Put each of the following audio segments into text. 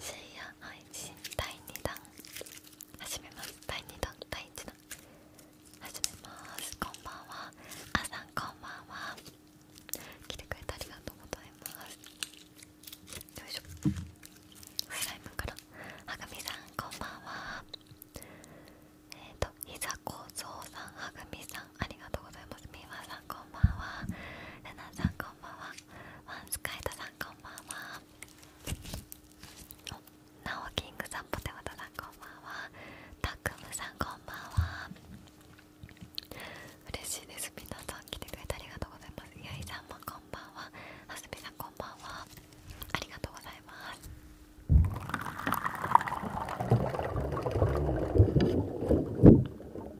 深夜配信第2弾始めます第2弾第1弾始めますこんばんはあさんこんばんは来てくれてありがとうございますよいしょスライムからはぐみさんこんばんはえっ、といざこうぞうさんはぐみさんありがとうございますみわさんこんばんはななさんこんばんはワスカイトさんこんばんはおナオキングさんポテトさんこんばんはタクムさんこんばんは嬉しいですみなさん来てくれてありがとうございますやいさんもこんばんははすみさんこんばんはありがとうございます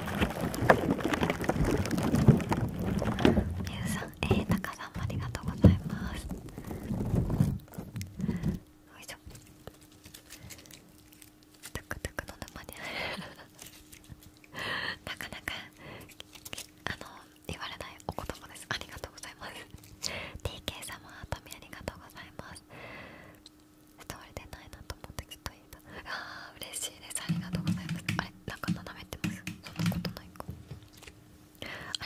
ゆうさん、えー、たかさんもありがとうございますよいしょトゥクトゥクの沼にあるなかなかあの言われないお言葉ですありがとうございます TK 様あとみありがとうございます歌われてないなと思ってずっと言えたあー嬉しいですありがとうございますあれなんか斜めってますそんなことないか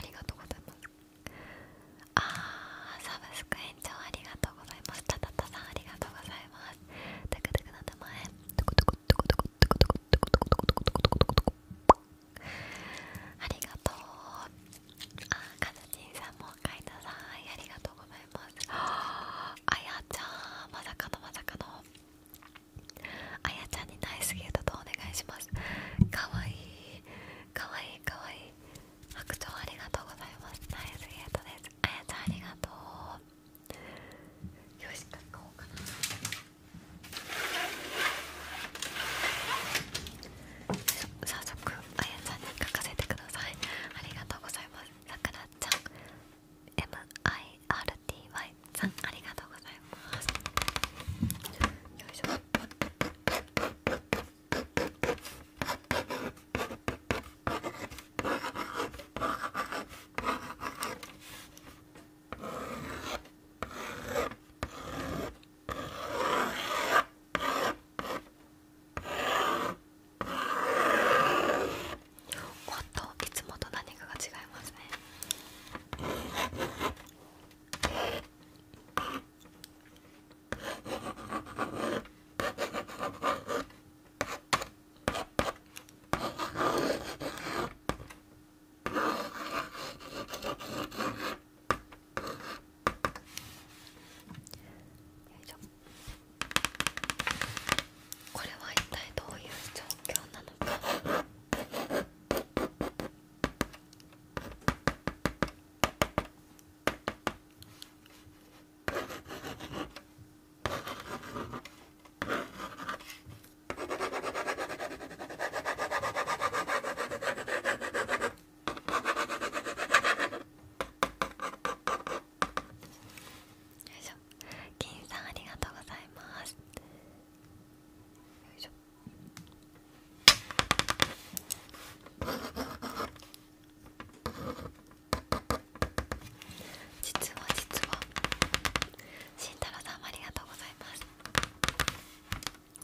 ありがとうございますあーサブスク延長ありがとうございますたたたさんありがとうございますたくたくの名前トコトコトコトコトコトコトコトコトコトコトコトコトコありがとうあーカズチンさんもおかえりなさいありがとうございあやちゃんまさかのまさかのあやちゃんにナイスゲートとお願いしますかわいいかいいかい白鳥ありがとうございますナイスゲートですあやちゃんありがとうよし書こうかな早速あやちゃんに書かせてくださいありがとうございますさくらちゃん MIRTY さんありがとうございますよいしょおっといつもと何かが違いますねよいしょこれは一体どういう状況なのかよいしょ銀さんありがとうございますよいしょ実は実は慎太郎さんもありがとうございます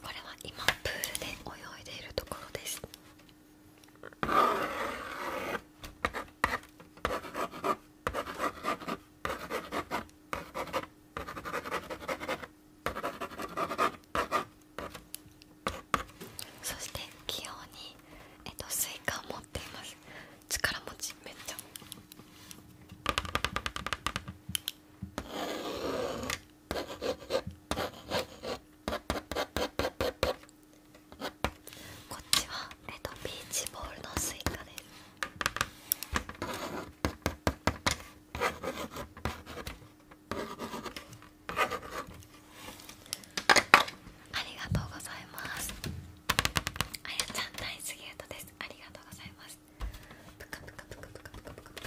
これは今プールで泳いでいるところですそして器用にえっとスイカを持っています力持ちめっちゃこっちはえっとビーチボールのスイカですありがとうございますあやちゃん大好きやとですありがとうございます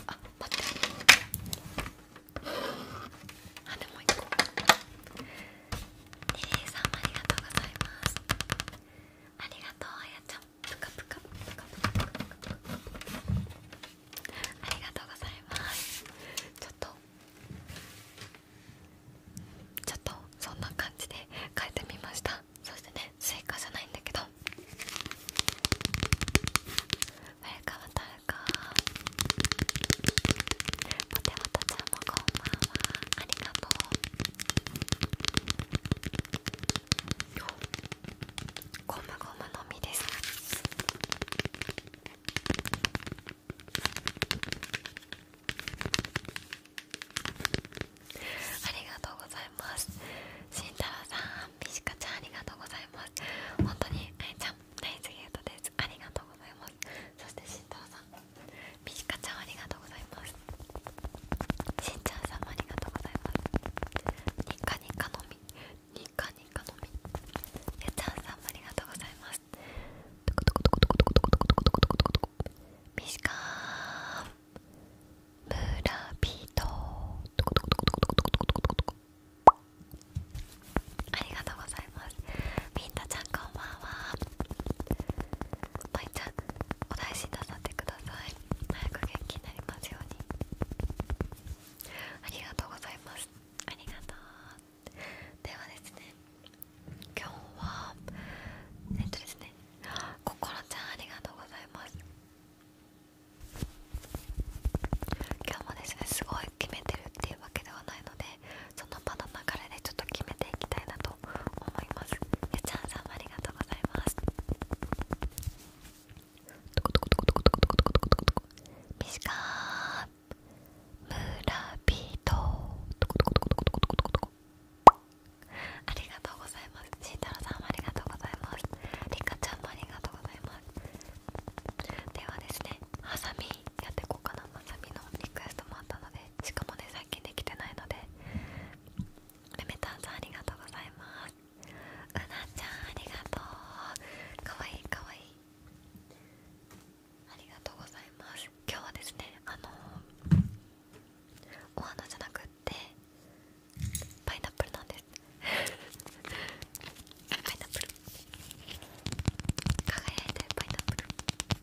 あってあでも一個リリーさんもありがとうございますありがとうあやちゃんぷかぷかぷかぷかぷかありがとうございますちょっとちょっとそんな感じで変えてみましたそしてねスイカじゃないんだけどウェルカムタルポテトちゃんもこんばんはありがとうゴムゴムすありがとうございますありがとうございます本当にあいちゃんナイスゲートですありがとうございますますそして慎太郎さんみちかちゃんありがとうございますしんちゃんさんもありがとうございますにかにかのみにかにかのみやちゃんさんもありがとうございますトコトコトコトコトコトコトコトコトコトコトコみしかーんブラピートトコトコトコトコトコトコトコトコトコありがとうございますみんたちゃんこんばんはまいちゃんお大事になさってください早く元気になりますようにありがとうございますありがとうではですね今日はえっとですねこころちゃんありがとうございます今日もですねすごい決めてるっていうわけではないのでその場の流れでちょっと決めていきたいなと思いますゆちゃんさんありがとうございますありがとうございます慎太郎さんもありがとうございますりかちゃんもありがとうございますではですねハサミやっていこうかなハサミのリクエストもあったのでしかもね最近できてないのでレメタンさんありがとうございますうなちゃんありがとうかわいいかわいいありがとうございます今日はですねあのお花じゃなくってパイナップルなんですパイナップル輝いてるパイナップル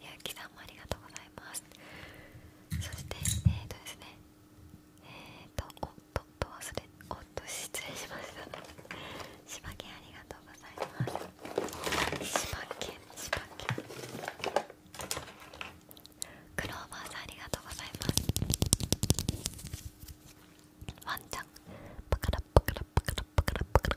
ゆうきさんもありがとうございますそしてえっ、とですねえっ、とおっとっと忘れおっと失礼しました島県ありがとうございます島県島県クローバーさんありがとうございますワンちゃんパカラパカラパカラパカラパカラ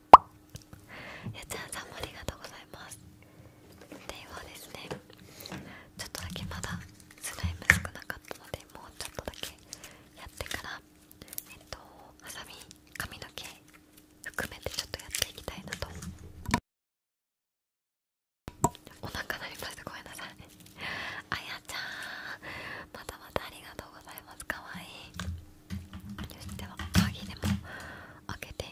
ゆちゃんさんもありがとうございますで今ですねちょっとだけまだスライム少なかったのでもうちょっとだけやってからえっとハサミ髪の毛含めてちょっとやっていきたいなとお腹鳴りますごめんなさいあやちゃんまたまたありがとうございますかわいいよしでは鍵でも開けて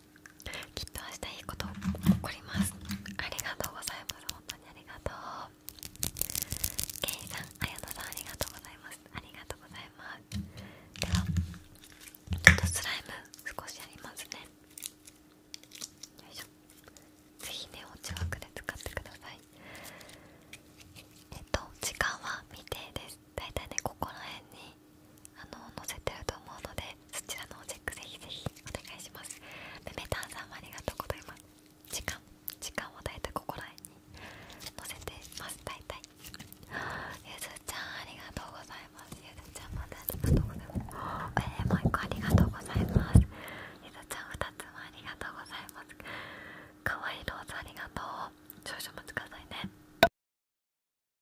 きっと明日いいこと起こりますありがとうございます本当にありがとうケイさん、あやとさんありがとうございますありがとうございますではちょっとスライム少しやりますねよいしょぜひねおちわくで使ってくださいえっと時間は未定ですだいたいねここら辺にあの載せてると思うのでそちらのチェックぜひぜひお願いしますでメタンさんもありがとうございます時間時間を大体ここら辺に載せてます大体ゆずちゃんありがとうございますゆずちゃんまたありがとうござえー、もうありがとうございますゆずちゃん二つもありがとうございますかわいローズありがとう少々お待ちくださいね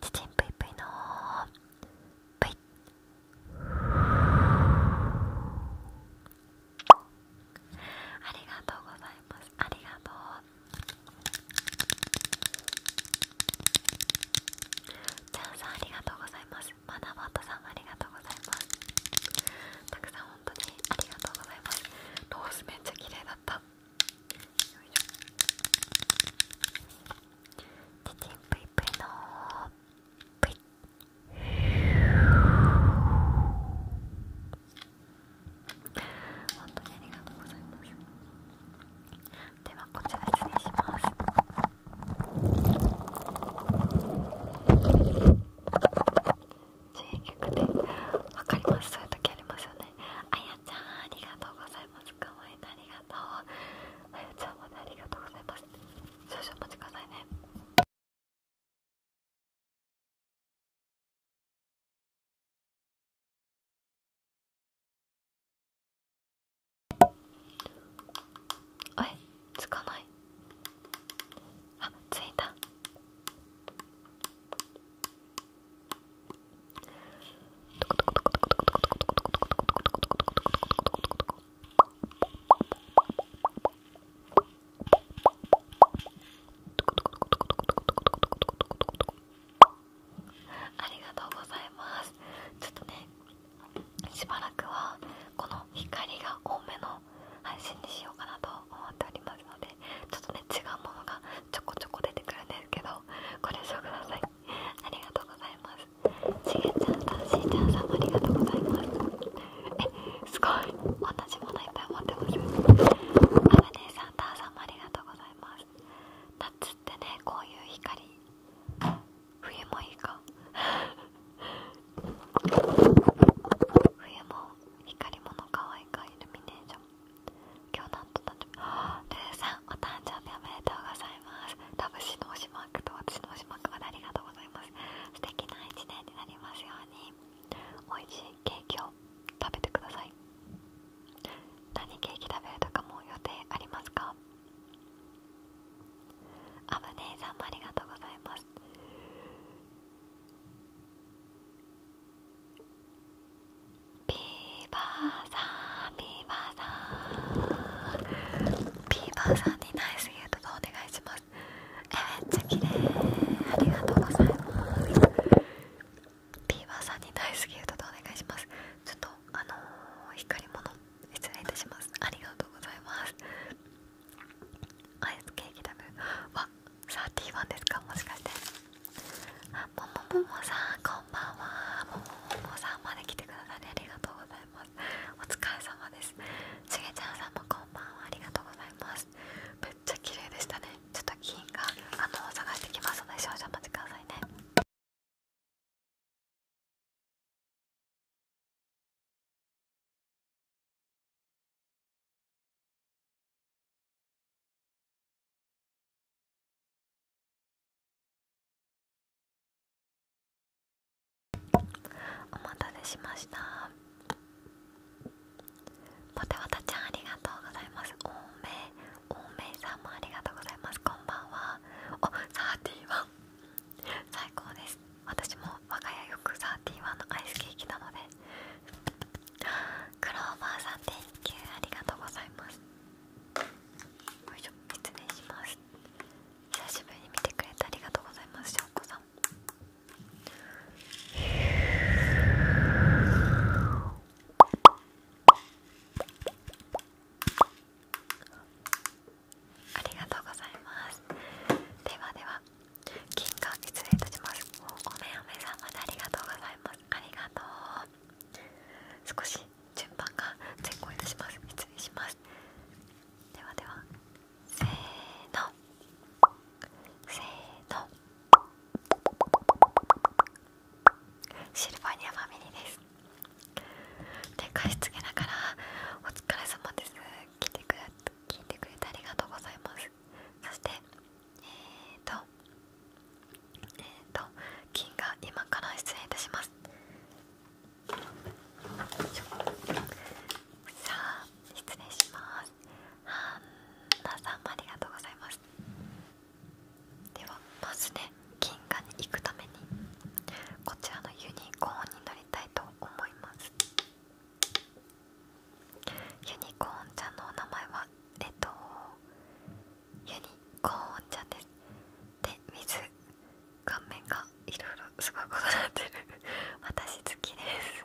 ちちんぷいぷいのぷいありがとうございますありがとうちゃんさんありがとうございますまだバッさんありがとうございますたくさん本当にありがとうございますロースめっちゃ綺麗だったよいしょチチンプイプイのプイ本当にありがとうございますではこちら失礼します注意でわかりますそういう時ありますよねあやちゃんありがとうございますかわいいありがとうあやちゃんまありがとうございます少々お待ちくださいねあれつかないあついたこ。ありがとうございますちょっとねしばらくはこの光が多めの配信にしようかなと思っておりますのでちょっとね違うものがちょこちょこ出てくるんですけどご了承くださいありがとうございますちげちゃんさんしーちゃんさんもありがとうございますえすごい同じものいっぱい持ってますあがねえさんたーさんもありがとうございます夏ってねこういう光冬もいいか冬も光り物可愛いかイルミネーション今日なんと誕生日ルーさんお誕生日おめでとうございます多分私の推しマークと私の推しマークまでありがとうございます素敵な一年になりますように美味しいケーキを食べてください何ケーキ食べるとかも予定ありますかあぶねえさんもありがとうございますビーバーさんビーバーさんビーバーさんにナイスユートとお願いしますえめっちありがとうございますビーバーさんにナイスギフトでお願いしますちょっとあの光も乗っ失礼いたしますありがとうございますアイスケーキ食べるわ31ですかもしかしてももももさんこんばんはももももさんまで来てくださりありがとうございますお疲れ様ですしげちゃんさんもこんばんはありがとうございますめっちゃ綺麗でしたねちょっと銀があの探してきますので少々お待ちくださいねお待たせしましたポテワタちゃんありがとうございますおめおめいさんもありがとうございますこんばんはおワン。最高です私も我が家よくサーーティワンのアイスケーキなのでクローバーさん Thank ありがとうございますよいしょ失礼します久しぶりに見てくれてありがとうございます翔子うこさんはいありがとうございますではでは金貨失礼いたしますおめおめさまでありがとうございますありがとう少し順番が前後いたします失礼しますではではせーのせーのシルバニアファミリーです展貸しつけながら「お疲れ様です聞てくれ聞いてくれてありがとうございます」そしてえっ、とえっ、と「金が今から失礼いたします」さあ失礼します。はんなさんもありがとうございます。ではまずね銀河に行くためにこちらのユニコーンに乗りたいと思いますユニコーンちゃんのお名前はえっとユニコーンちゃんですで水顔面がいろいろすごいこなってる私好きですあ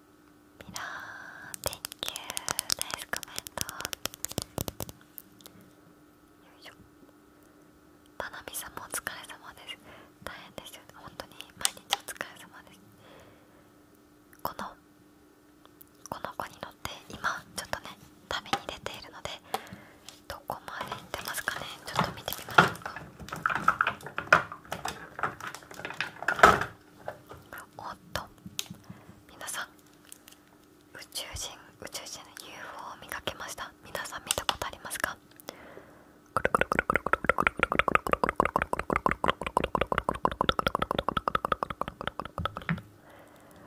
ミラー Thank you ナイスコメントよいしょまなさんもお疲れ様です大変ですよね本当に毎日お疲れ様ですこのこの子に乗って今ちょっとね旅に出ているのでどこまで行ってますかねちょっと見てみましょうかおっと皆さん宇宙人宇宙人の UFO を見かけました皆さん見たことありますか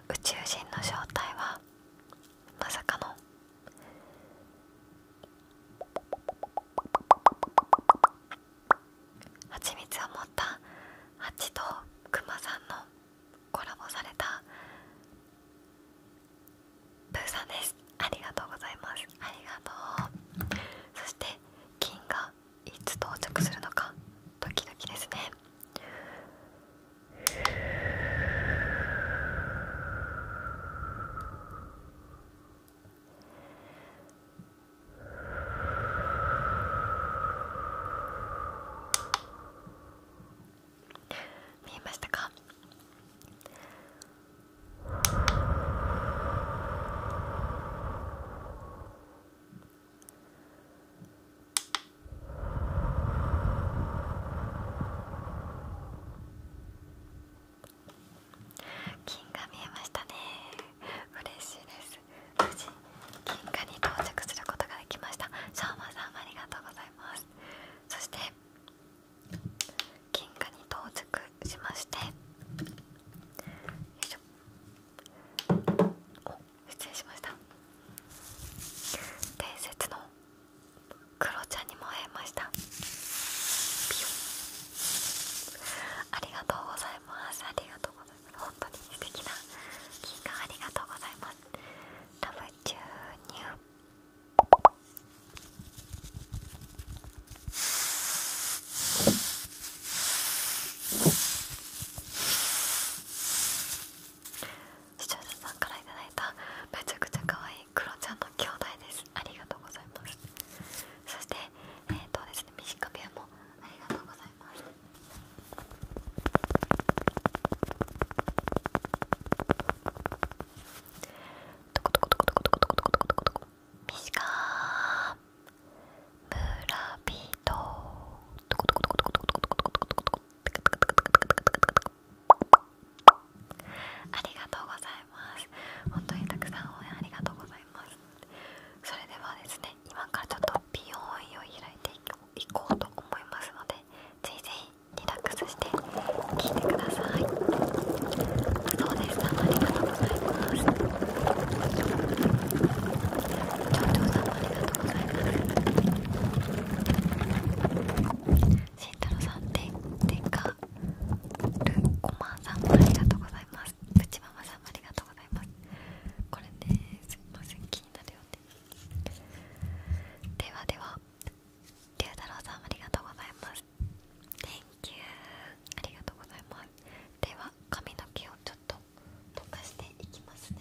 宇宙人の正体はまさかのはちみつを持ったハチとクマさんのコラボされたプーさんですありがとうございますありがとうそして金がいつ到着するのかドキドキですね見えましたか金が見えましたね嬉しいです無事金貨に到着することができましたしーマまさんありがとうございますそして金貨に到着しましてよいしょお失礼しました伝説のクロちゃんにも会えましたピヨありがとうございますありがとうございます本当に素敵な金貨ありがとうございますラブ注入視聴者さんからいただいためちゃくちゃ可愛いクロちゃんの兄弟ですありがとうございますそしてえっ、とですね短部屋もありがとうございますミシカー村人ありがとうございます本当にたくさん応援ありがとうございますそれではですね今からちょっと美容院を開いていこうと思いますのでぜひぜひリラックスして聞いてくださいそうですありがとうございます町長さんありがとうございます慎太郎さんででかるこまさんありがとうございますますママさんもありがとうございますこれねすいません気になるよねではでは龍太郎さんありがとうございます Thank you ありがとうございますでは髪の毛をちょっと溶かしていきますね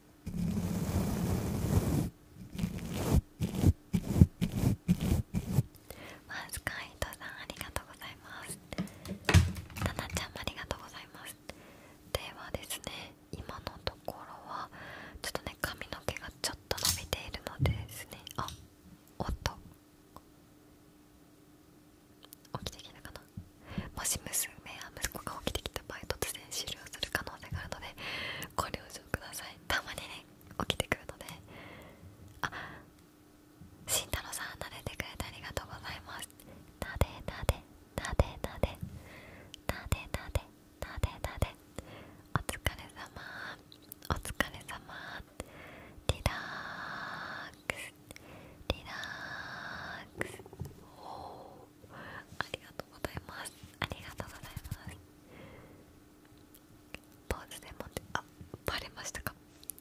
マスカイトさんありがとうございますタナちゃんもありがとうございますではですね今のところはちょっとね髪の毛がちょっと伸びているのでですねあおっと起きてきたかなもし娘や息子が起きてきた場合突然終了する可能性があるのでこれをちくださいたまにね起きてくるのであ慎太郎さん慣れてくれてありがとうございます撫で撫で撫で撫で撫で撫で撫で撫でお疲れ様お疲れ様リラックスリラックスおありがとうございますありがとうございますポーズでもってあバレましたか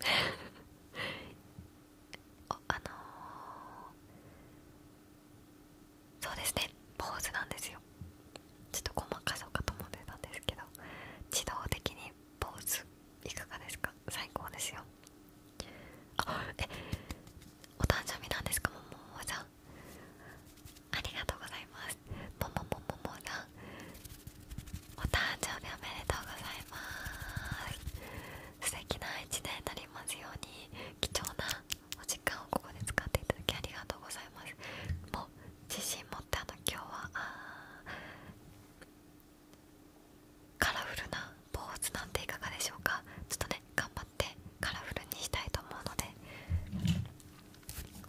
おあのそうですねポーズなんですよちょっとごまかそうかと思ってたんですけど自動的にポーズいかがですか最高ですよあえお誕生日なんですかももさんありがとうございますもももももさが。お誕生日おめでとうございます素敵な一年になりますように貴重なお時間をここで使っていただきありがとうございますもう自信持ってあの今日はあカラフルな坊主なんていかがでしょうかちょっとね頑張ってカラフルにしたいと思うので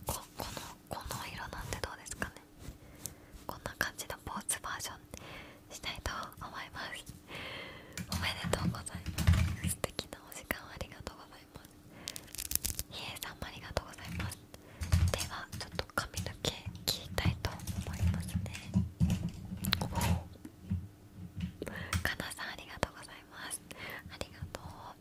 ここのこの色なんてどうですかねこんな感じのポーズバージョンしたいと思いますおめでとうございます素敵なお時間ありがとうございますひえさんもありがとうございますではちょっと髪の毛切りたいと思いますねおかなさんありがとうございますありがとう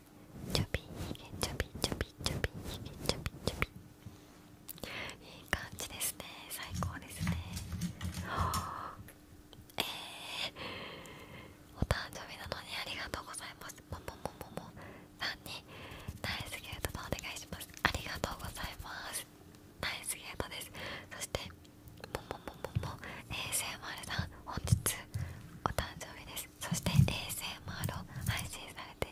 ちょびひげちょびちょびちょびひげちょびちょびいい感じですね最高ですねえー、お誕生日なのにありがとうございますもももももさんにナイスゲートのお願いしますありがとうございますナイスゲートですそしてももももも a s m 丸さん本日お誕生日ですそして a s 丸を配信されて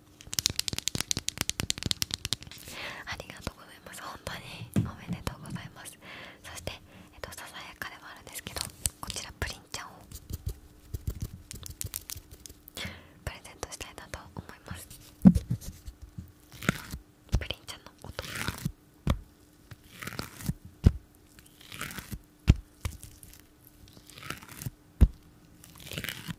ありがとうございます本当におめでとうございますそして、えっと、ささやかではあるんですけどこちらプリンちゃんをプレゼントしたいなと思いますプリンちゃんの音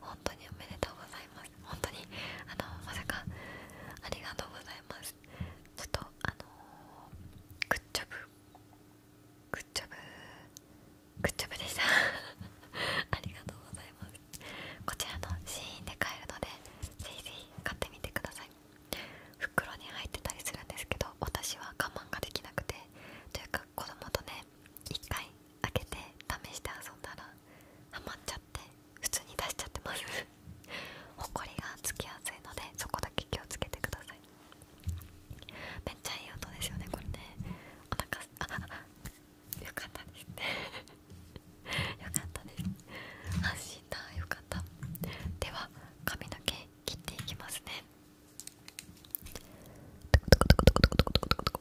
本当におめでとうございます本当にあのまさかありがとうございますちょっとあのグッジョブグッジョブグッジョブでした ありがとうございますこちらのシーンで買えるのでぜひぜひ買ってみてください袋に入ってたりするんですけど私は我慢ができなくてというか子供とね一回開けて試して遊んだらハマっちゃって普通に出しちゃってます ほがつきやすいのでそこだけ気をつけてくださいめっちゃいい音ですよねこれねお腹す かったですね よかったです発信だよかったでは髪の毛切っていきますねトコトコトコトコトコトコトコトコ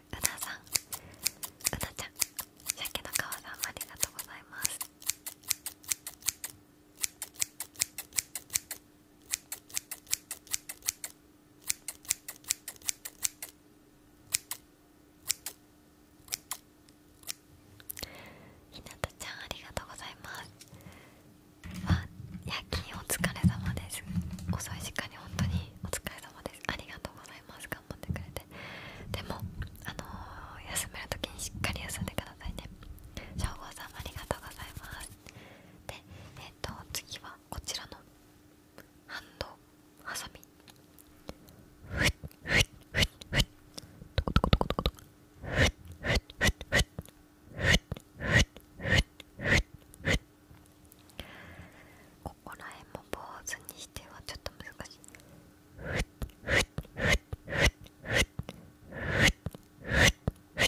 うなさんうなちゃん鮭の川さんありがとうございますひなたちゃんありがとうございます夜勤お疲れ様です遅い時間に本当にお疲れ様ありがとうございます頑張ってくれてでもあの休める時にしっかり休んでくださいねしょうごうさんもありがとうございますでえっ、と次はこちらのハンドハサミふっふっふっふっトコトコトコトコトコふっふっふっこら辺も坊主にしてはちょっと難しいふっふっふっふっふっふっふっふ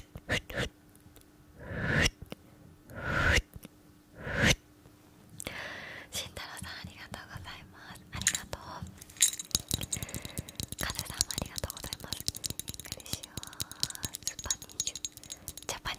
っふっ慎太郎さんありがとうございますありがとうカズさんもありがとうございますイングリッシュはスパニッシュ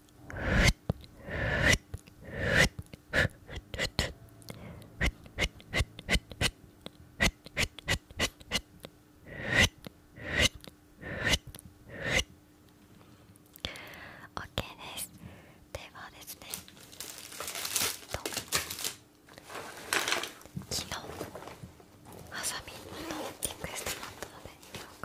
ッ OK ですではですねと昨日ハサミのリクッストだったので今日か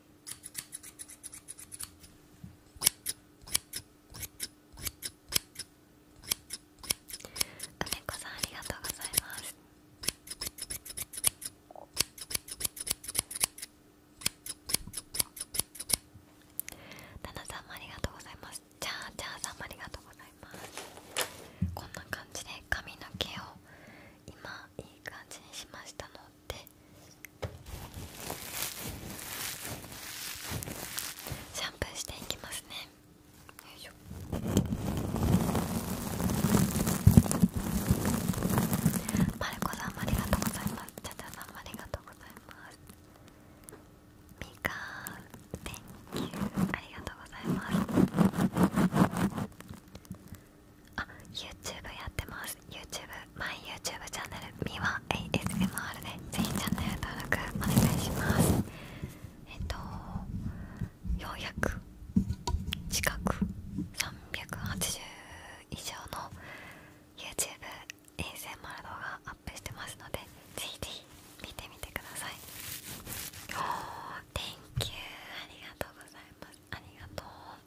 梅んありがとうございますタナさんもありがとうございますチャーチャーさんもありがとうございますこんな感じで髪の毛を今いい感じにしましたのっシャンプーしていきますねよいしさんもありがとうございますチャチャさんもありがとうございますみかん Thank you ありがとうございますあ YouTube やってます YouTube マイ YouTube チャンネル m i w ASMR a でぜひチャンネル登録お願いしますえっとようやく近く380以上の YouTube ASMR 動画アップしてますのでぜひぜひ見てみてくださいおー Thank ありがとうございますありがとう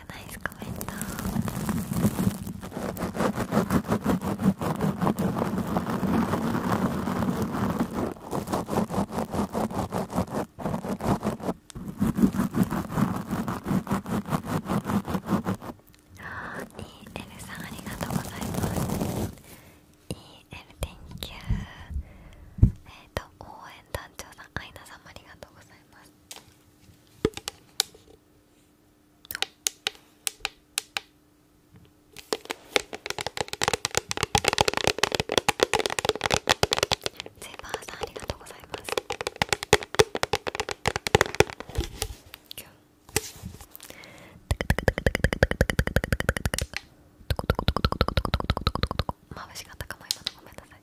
you ナイスコメントあー EL さんありがとうございます EL Thank you えっ、ー、と応援団長さんアイナさんもありがとうございますセーバーんありがとうございますったかも今のごめんなさい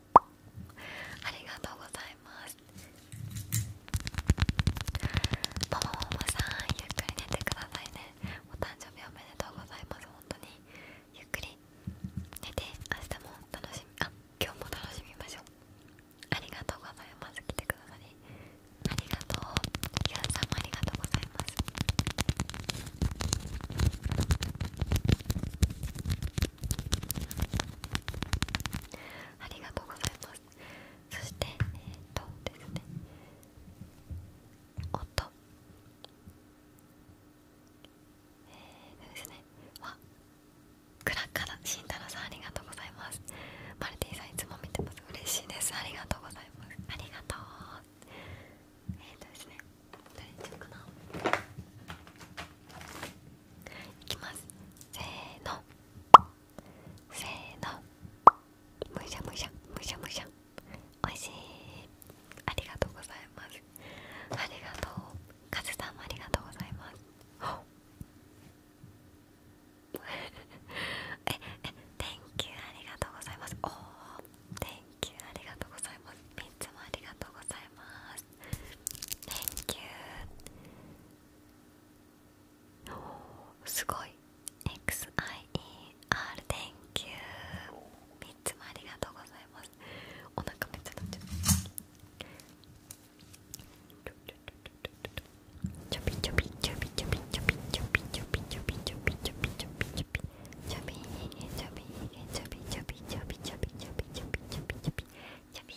ありがとうございますももももさんゆっくり寝てくださいねお誕生日おめでとうございます本当にゆっくり寝て明日も楽しみあ今日も楽しみましょうありがとうございます来てくださりありがとうゆうさんもありがとうございますありがとうございますそしてえっ、とですね音えー、ですねわクラッカーラ慎太郎さんありがとうございますマルティさんいつも見てます嬉しいですありがとうございますありがとうえっ、とですねどれにしようかないきますせーのせーのむしゃむしゃむしゃむしゃおいしいありがとうございますありがとうカズさんもありがとうございますええ Thank you ありがとうございますおお Thank you ありがとうございますみっつもありがとうございますす Thank you すごい XIER Thank you 3つもありがとうございますお腹めちゃ鳴ちゃちょびちょびちょびちょび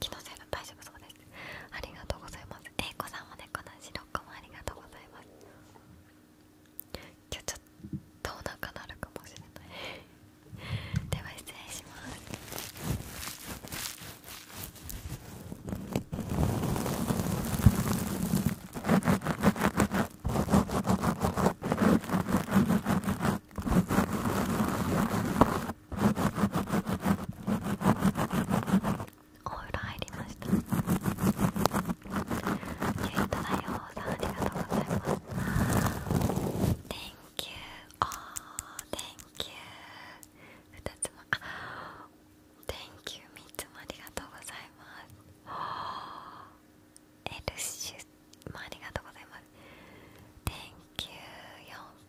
気のせいの大丈夫そうですありがとうございますえいこさんもねこの白子もありがとうございます今日ちょっとお腹鳴るかもしれないでは失礼しますお風呂入りましたゆいとなようさんありがとうございます Thank you あー Thank you 2つもあ Thank you 3つもありがとうございますエルシュもありがとうございます Thank you 4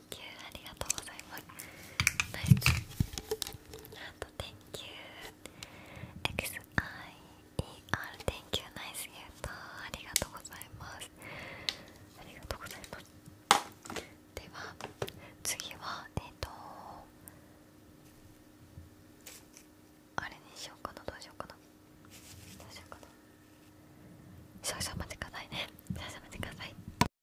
you ありがとうございますナイスあと Thank you XIER Thank you ナイスユータありがとうございますありがとうございますでは次はえっ、とあれにしようかなどうしようかなどうしようかな少々待ってくださいね少々待ってください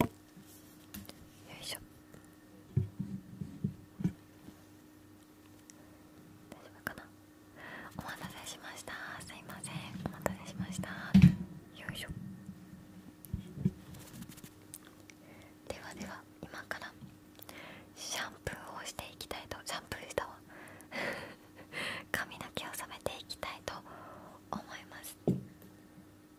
よいしょ大丈夫かなお待たせしましたすいませんお待たせしましたよいしょではでは今からシャンプーをしていきたいとシャンプーしたわ 髪の毛を染めていきたいと思います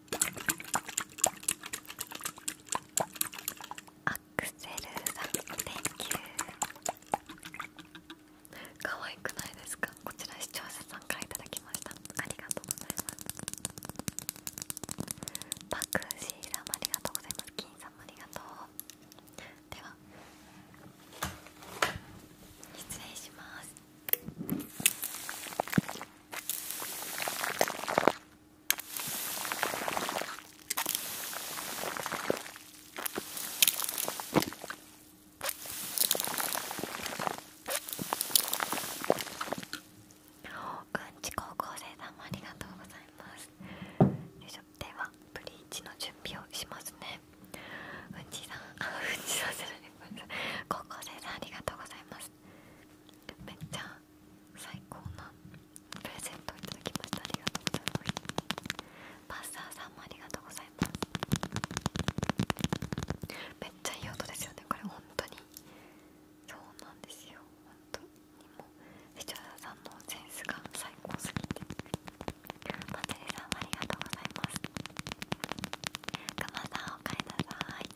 アクセルさん、Thank you 可愛くないですかこちら視聴者さんからいただきましたありがとうございますパクシーラムありがとうございます金さんもありがとうでは失礼しますうんち高校生さんもありがとうございますではブリーチの準備をしますねうんちさんうんちさんするね高校生さんありがとうございますめっちゃ最高なプレゼントをいただきましたありがとうございますパスターさんもありがとうございますめっちゃいい音ですよねこれ本当にそうなんですよ本当にもう視聴者さんのセンスが最高すぎてまつりさんもありがとうございますガマさんおかえりなさい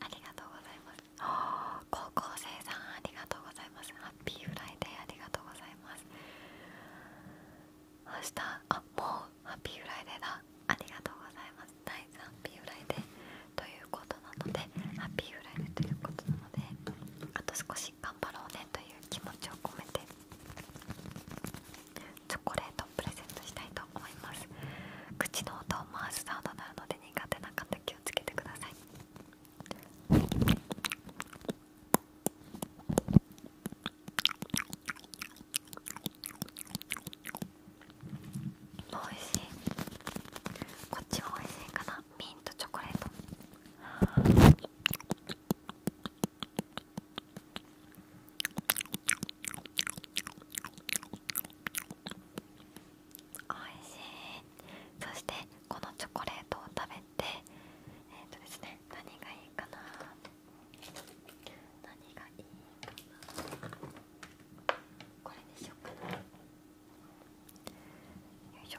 ありがとうございます 高校生さんありがとうございますハッピーフライデーありがとうございます明日あもうハッピーフライデーだありがとうございます第3ハッピーフライデーということなのでハッピーフライデーということなのであと少し頑張ろうねという気持ちを込めてチョコレートをプレゼントしたいと思います口の音を回すサウンドなので苦手な方気をつけてくださいおいしいこっちもおいしいかなミントチョコレートいしいそしてこのチョコレートを食べてえー、とですね何がいいかな何がいいかなこれにしようかなよいしょ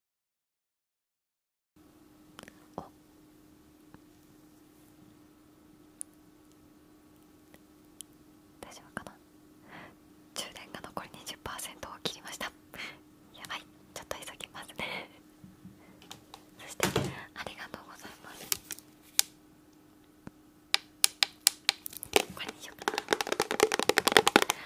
お大丈夫かな充電が残り20%を切りましたやばいちょっと急ぎますね そしてありがとうございますこれにしよ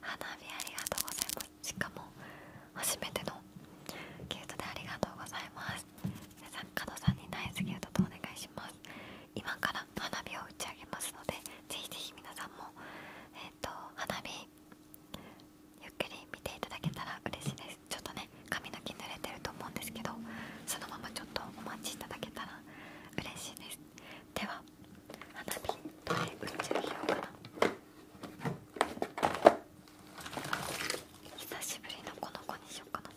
花火ありがとうございますしかも初めてのギフトでありがとうございます加藤さんにナイスギフトとお願いします今から花火を打ち上げますのでぜひぜひ皆さんもえっ、と花火ゆっくり見ていただけたら嬉しいですちょっとね髪の毛濡れてると思うんですけどそのままちょっとお待ちいただけたら嬉しいですでは花火どれ宇宙費用かな久しぶりのこの子にしようかな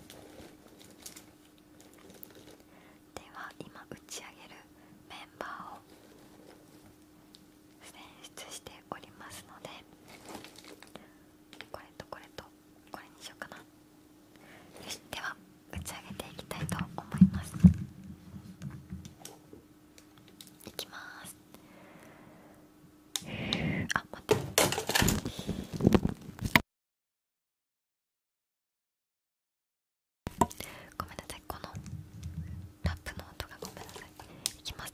では今打ち上げるメンバーを選出しておりますのでこれとこれとこれにしようかなよしでは打ち上げていきたいと思いますいきますあ待ってごめんなさいこのラップの音がごめんなさいいきます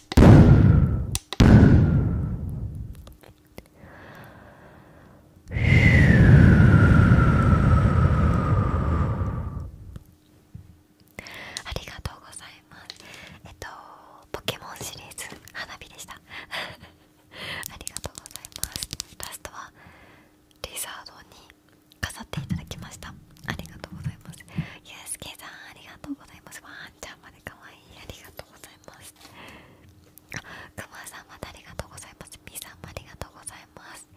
ありがとうございますえっとポケモンシリーズ花火でした ありがとうございますラストはリザードに飾っていただきましたありがとうございますゆうすけさんありがとうございますんゃんまでかわいいありがとうございますあくまさんまたありがとうございますみさんもありがとうございます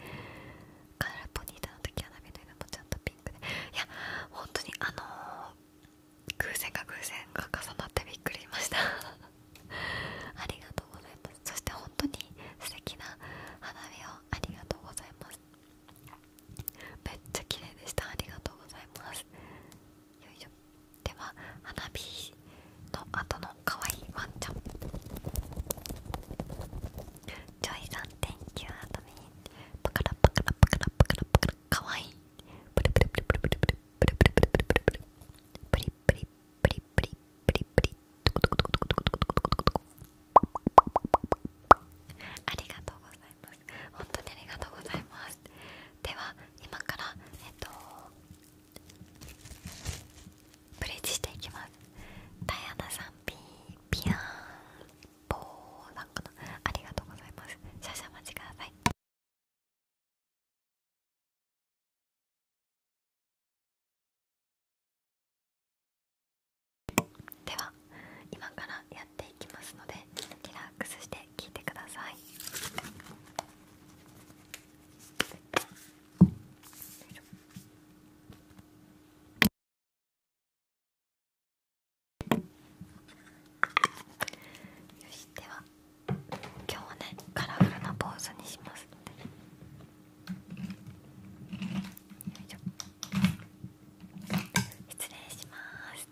カラポニータの時は涙もちょっとピンクでいや本当にあの偶然が偶然が重なってびっくりしました ありがとうございますそして本当に素敵な花火をありがとうございますめっちゃ綺麗でしたありがとうございますよいしょでは花火の後の可愛いワンちゃんジョイさん Thank you アドミンパカラパカラパカラパカラパカラかわいいプリプリプリプリプリプリプリプリプリプリプリプリプリプリプリプリプリトコトコトコトコトコトコトコトコありがとうございいます本当にありがとうございますでは今からえっとブリッジしていきますダイアナさんピーピアンポーなんかなありがとうございます少々お待ちくださいでは今からややきますのでリラックスして聴いてください。よしでは今日はねカラフルなポーズにします失礼します。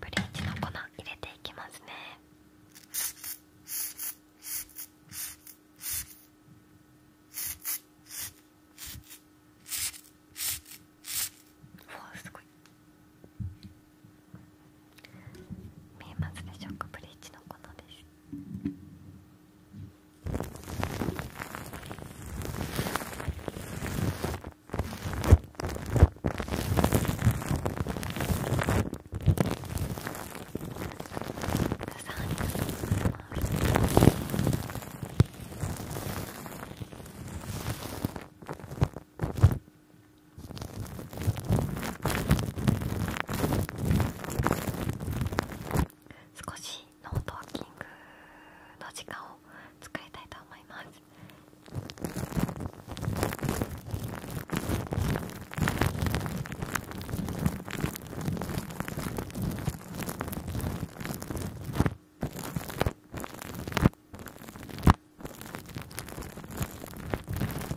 ブリーチの粉入れていきますねわあすごい見えますでしょうかブリーチのこのですありがとうございます。少しノートワーキングの時間を使いたいと思います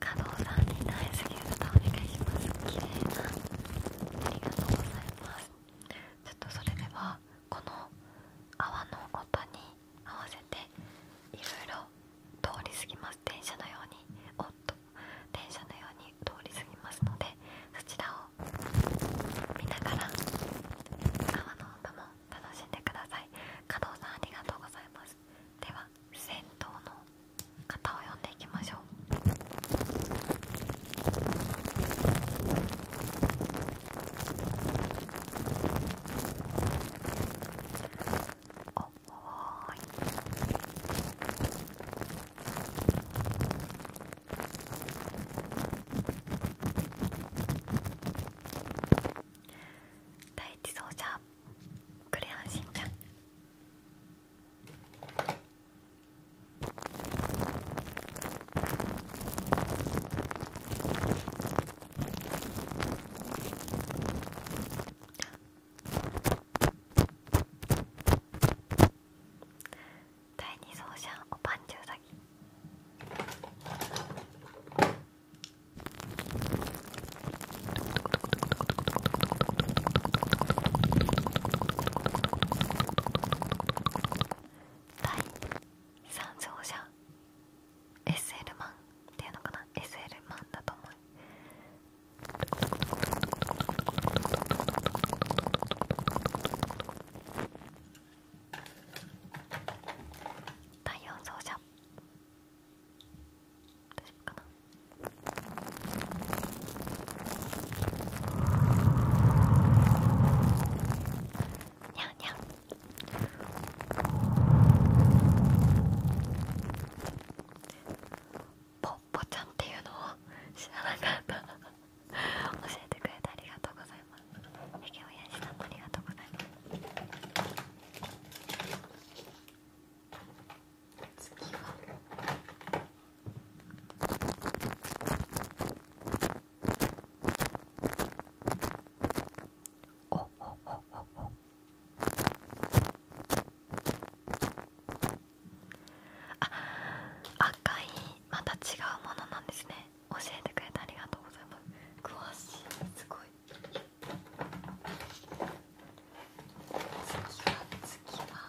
加藤さんにナイスギフトお願いします綺麗なありがとうございますちょっとそれではこの泡の音に合わせていろいろ通り過ぎます電車のようにおっと電車のように通り過ぎますのでそちらを見ながら泡の音も楽しんでください加藤さんありがとうございますでは銭湯の方を呼んでいきましょうおっお第一走者クレヨンしんちゃん第二走者おぱんちゅうさぎ第3走者 SL マンっていうのかな SL マンだと思う第4走者どうしよ夫かなポッポちゃんっていうのを知らなかった教えてくれてありがとうございますえきおやじさんもありがとうございます次はおおおおおあ赤いまた違うものなんですね教えてくれてありがとうございます詳しいすごいそ次は次は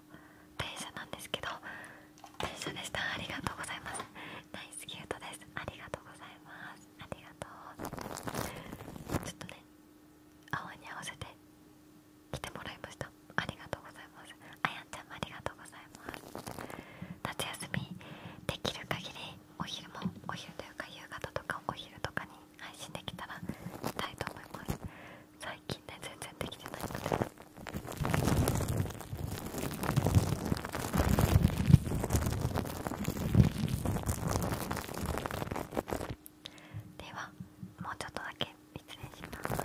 電車なんですけど電車でしたありがとうございますナイスキュートですありがとうございますありがとうちょっとね青に合わせて来てもらいましたありがとうございますあやんちゃんもありがとうございます夏休みできる限りお昼もお昼というか夕方とかお昼とかに配信できたらしたいと思います最近ね全然できてないのでではもうちょっとだけ失礼します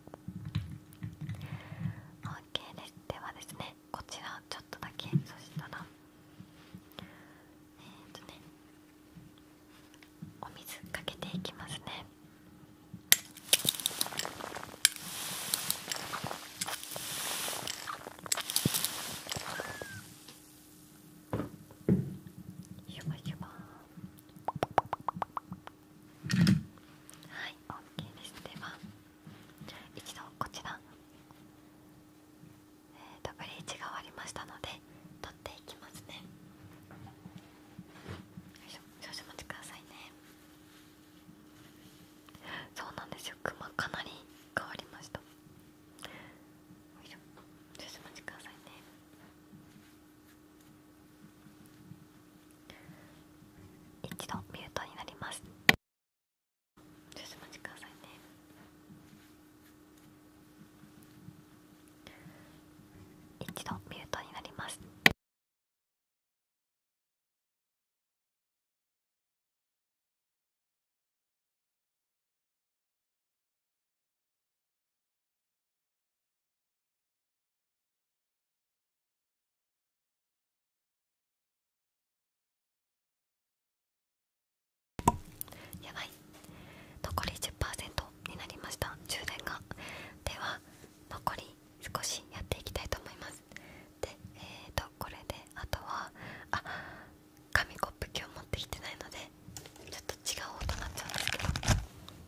OK ですではですねこちらちょっとだけそしたらえっ、とねお水かけていきますねゆばゆば。はい OK ですでは一度こちら、えー、とブレーキが終わりましたので取っていきますねよいしょ少々お待ちくださいねそうなんですよクマかなり変わりましたよいしょ少々お待ちくださいね一度ミュートになります少々お待ちくださいね一度ミュートになりますやばい残り10%になりました充電がでは残り少しやっていきたいと思いますでえーとこれであとはあ紙コップ今日持ってきてないのでちょっと違う音になっちゃうんですけど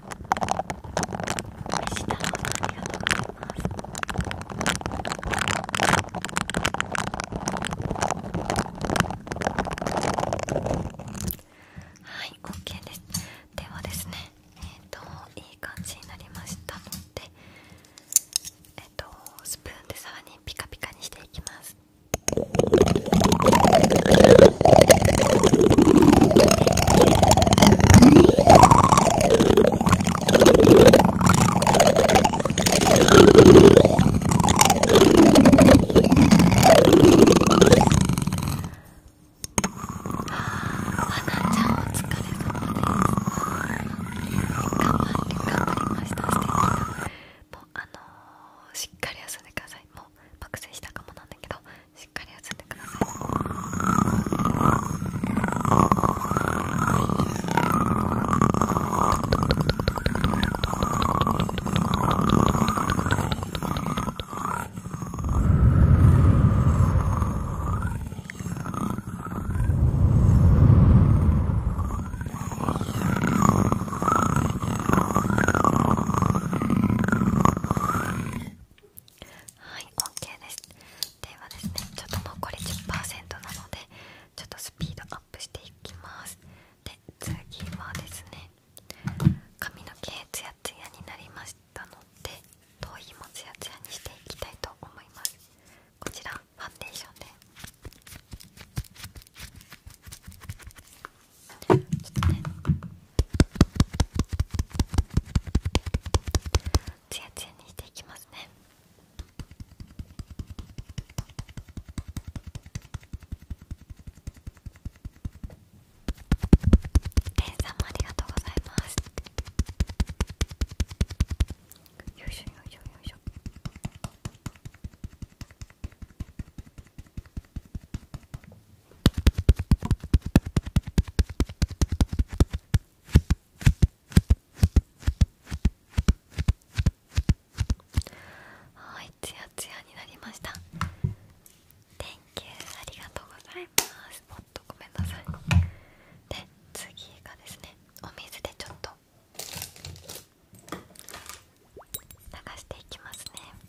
したありがすはい OK ですではですねえっ、ー、といい感じになりましたのでえっ、ー、とスプーンでさらにピカピカにしていきますもうあのー、しっかり休んでくださいもう爆睡したかもなんだけどしっかり休んでください「はい OK ですではですねちょっと残り10%なのでちょっとスピードアップしていきますで次はですね髪の毛ツヤツヤになりましたので頭皮もツヤツヤにしていきたいと思いますこちらファンデーションです。ちょっとねツヤツヤにしていきますねレンさんもありがとうございますよいしょよいしょよいしょちょっはいツヤツヤになりました t h ありがとうございますもっとごめんなさいで次がですねお水でちょっと流していきますね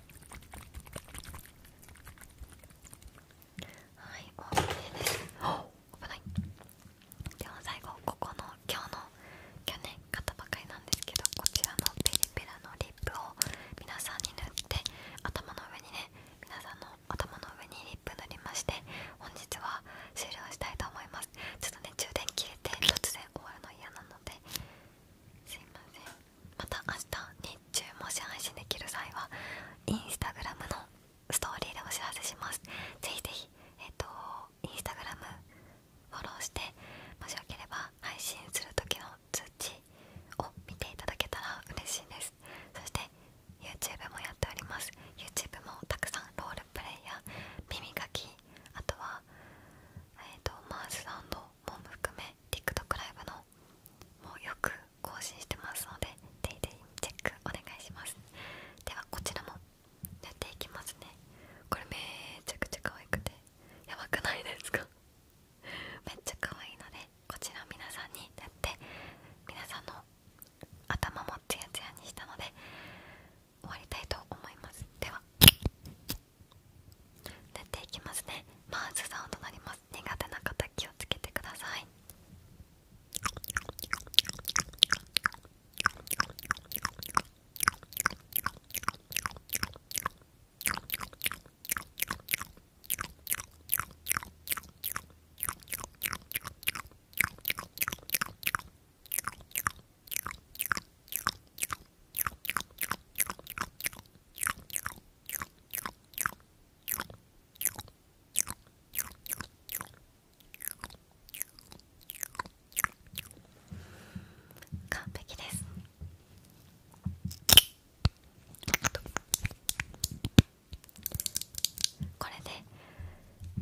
はいオ OK です危ないでは最後ここの今日の去年買ったばかりなんですけどこちらのペリペラのリップを皆さんに塗って頭の上にね皆さんの頭の上にリップ塗りまして本日は終了したいと思いますちょっとね充電切れて突然終わるの嫌なのですいませんまた明日日中もし配信できる際はインスタグラムのストーリーでお知らせしますぜひぜひえっ、ー、とインスタグラムフォローしてもしよければ配信する時の通知を見ていただけたら嬉しいですそして YouTube もやっております YouTube もたくさんロールプレイヤー耳かきあとはえっ、とマウスサンドも含めね t i k ライブのもうよく更新してますのでデイデイチェックお願いしますではこちらもやっていきますねこれめちゃくちゃ可愛くてやばくないですか めっちゃ可愛いのでこちら皆さんにやって皆さんの頭もツヤツヤにしたので終わりたいと思いますでは出ていきますねマーズサウンドになります苦手な方気をつけてください完璧です。これで、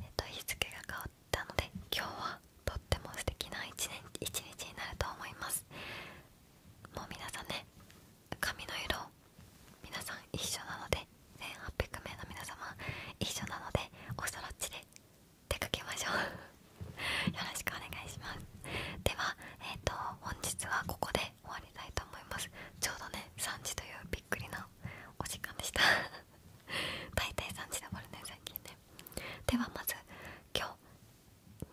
えっと、日付が変わったので今日はとっても素敵な一日になると思いますもう皆さんね髪の色皆さん一緒なので1800名の皆様一緒なのでおそろっちで出かけましょう よろしくお願いしますではえっ、と本日はここで終わりたいと思いますちょうどね3時というびっくりなお時間でした 大体3時で終わるね最近ねではまず今日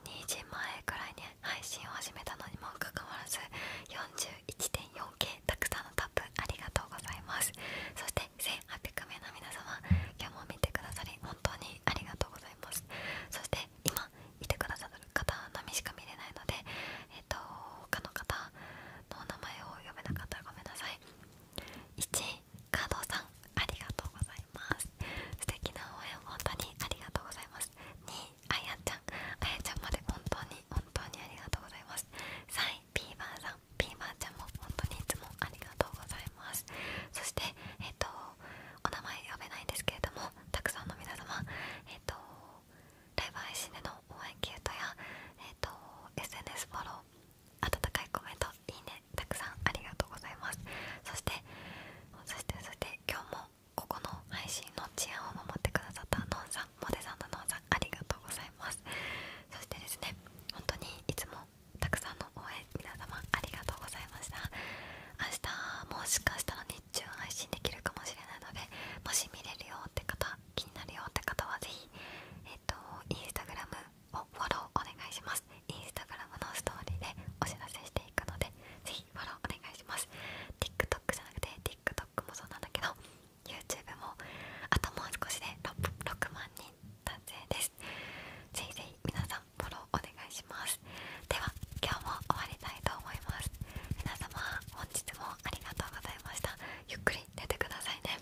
2時前くらいに配信を始めたのにもかかわらず 41.4K たくさんのタップありがとうございますそして1800名の皆様今日も見てくださり本当にありがとうございますそして今いてくださる方のみしか見れないのでえっ、と他の方のお名前を読めなかったらごめんなさい1カードさんありがとうございますす素敵な応援本当にありがとうございます2位あやちゃんあやちゃんまで本当に本当にありがとうございます3位ピーマンさんピーマンちゃんも本当にいつもありがとうございますそしてえっ、とお名前呼べないんですけれどもたくさんの皆様えっ、とライブ配信での応援キュートや、えっと SNS フォロー温かいコメントいいねたくさんありがとうございますそしてそしてそして今日もここの配信の治安を守ってくださったノンさんモデさんとノンさんありがとうございますそしてですね本当にいつもたくさんの応援皆様ありがとうございました明日もしかしたら日中配信できるかもしれないのでもし見れるよって方気になるよって方は是非えっ、ー、とインスタグラムをフォローお願いしますインスタグラムのストーリーでお知らせしていくのでぜひフォローお願いします TikTok じゃなくて TikTok もそうなんだけど YouTube もあともう少しで 6, 万人達成ですぜひぜひ皆さんフォローお願いしますでは今日も終わりたいと思います皆様本日もありがとうございましたゆっくり寝てくださいね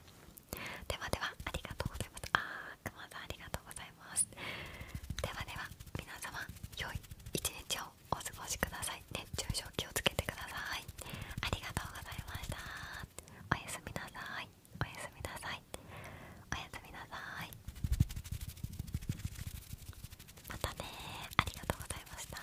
ではではありがとうございますあーくまさんありがとうございいますではでは皆様良い一日をお過ごしください熱中症気をつけてくださいありがとうございましたおやすみなさいおやすみなさいおやすみなさいまたねありがとうございました